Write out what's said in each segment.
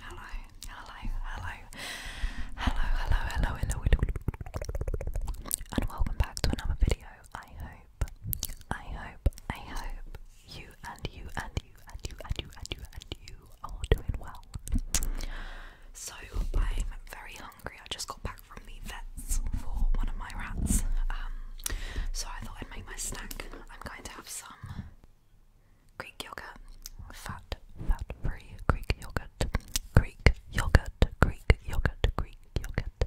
Hello, hello, hello, hello, hello, hello, hello, and welcome back to another video. I hope, I hope, I hope you and you and you and you and you and you and you are doing well. So I'm very hungry. I just got back from the vets for one of my rats. Um, so I thought I'd make my snack. I'm going to have some Greek yogurt, fat, fat-free Greek yogurt, Greek yogurt, Greek yogurt, Greek yogurt,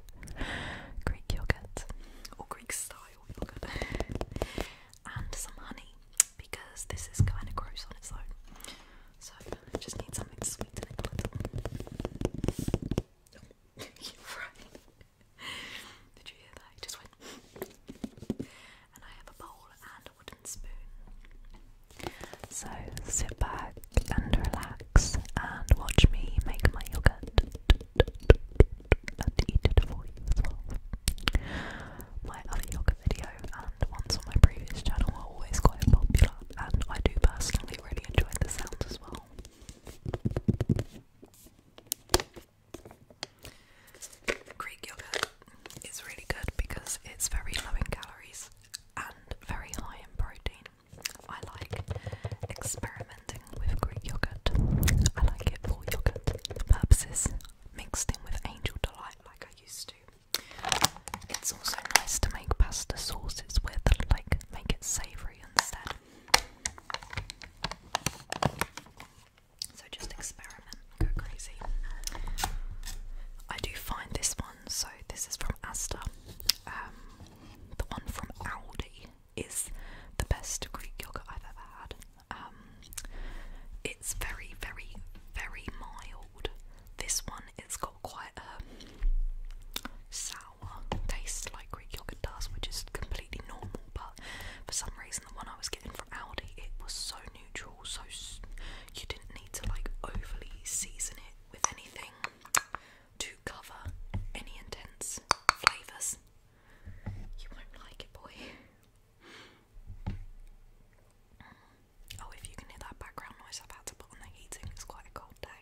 Greek yogurt, or Greek style yogurt, and some honey because this is kind of gross on its own. So I just need something to sweeten it a little. You're right. Did you hear that? It just went. and I have a bowl and a wooden spoon. So sit back and relax and watch me make my yogurt and eat it for you My other yogurt video and ones on my previous channel are always quite popular, and I do personally really enjoy the sound as well. Greek yogurt is really good because it's very low in calories and very high in protein. I like experimenting with Greek yogurt. I like it for yogurt purposes, mixed in with angel delight like I used to. It's also nice to make pasta sauces with, like, make it savoury instead. So just experiment, go crazy. I do find this one, so this is from Asta. Um, the one from Aldi is the best Greek yogurt I've ever had. Um, it's very, very, very mild. This one, it's got quite a sour taste like Greek yogurt does, which is completely normal. But for some reason, the one I was getting from Aldi, it was so neutral, so you didn't need to like overly season it with anything to cover any intense flavours. You won't like it, boy. Oh, if you can hear that background noise I've had to put on the heating, it's quite a cold day.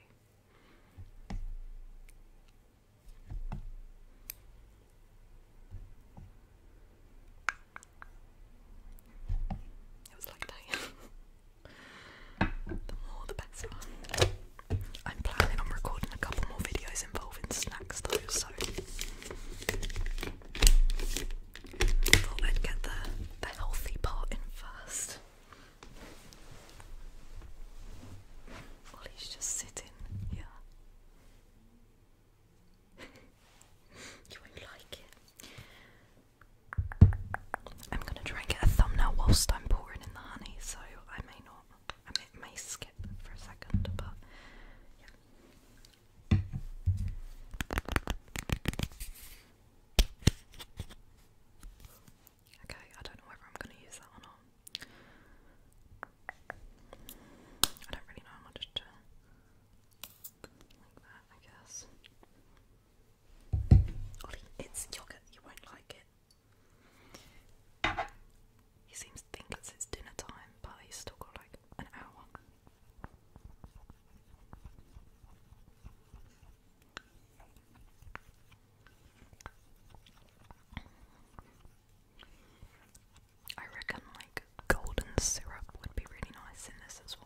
It was like that. the more, the better. I'm planning on recording a couple more videos involving snacks though, so I thought I'd get the the healthy part in first. He's just sitting here. you won't like it. I'm gonna try and get a thumbnail whilst I'm pouring in the honey, so I may not. I may, skip for a second, but Okay, I don't know whether I'm going to use that or not. I don't really know, I'm to like that, I guess. Ollie, it's yogurt, you won't like it. He seems to think it's dinner time, but he's still got like an hour. I reckon like golden syrup would be really nice in this as well.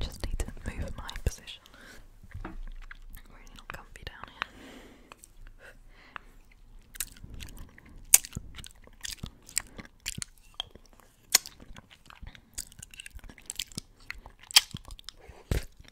Just need to move my position. really not comfy down here.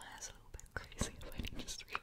That's a little bit crazy if I didn't just realize.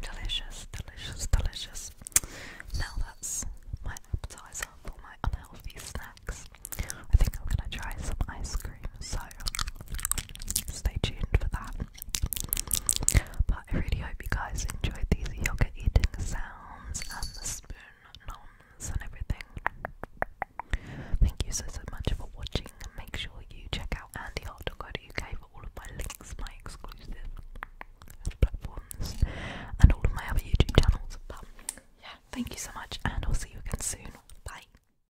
Delicious, delicious, delicious. Now that's my appetizer for my unhealthy snacks. I think I'm gonna try some ice cream, so stay tuned for that. But I really hope you guys enjoyed these yoga eating sounds and the spoon noms and everything. Thank you so so much for watching. Make sure you check out uk for all of my links, my exclusive platforms, and all of my other YouTube channels. But yeah, thank you so much, and I'll see you again soon. Bye.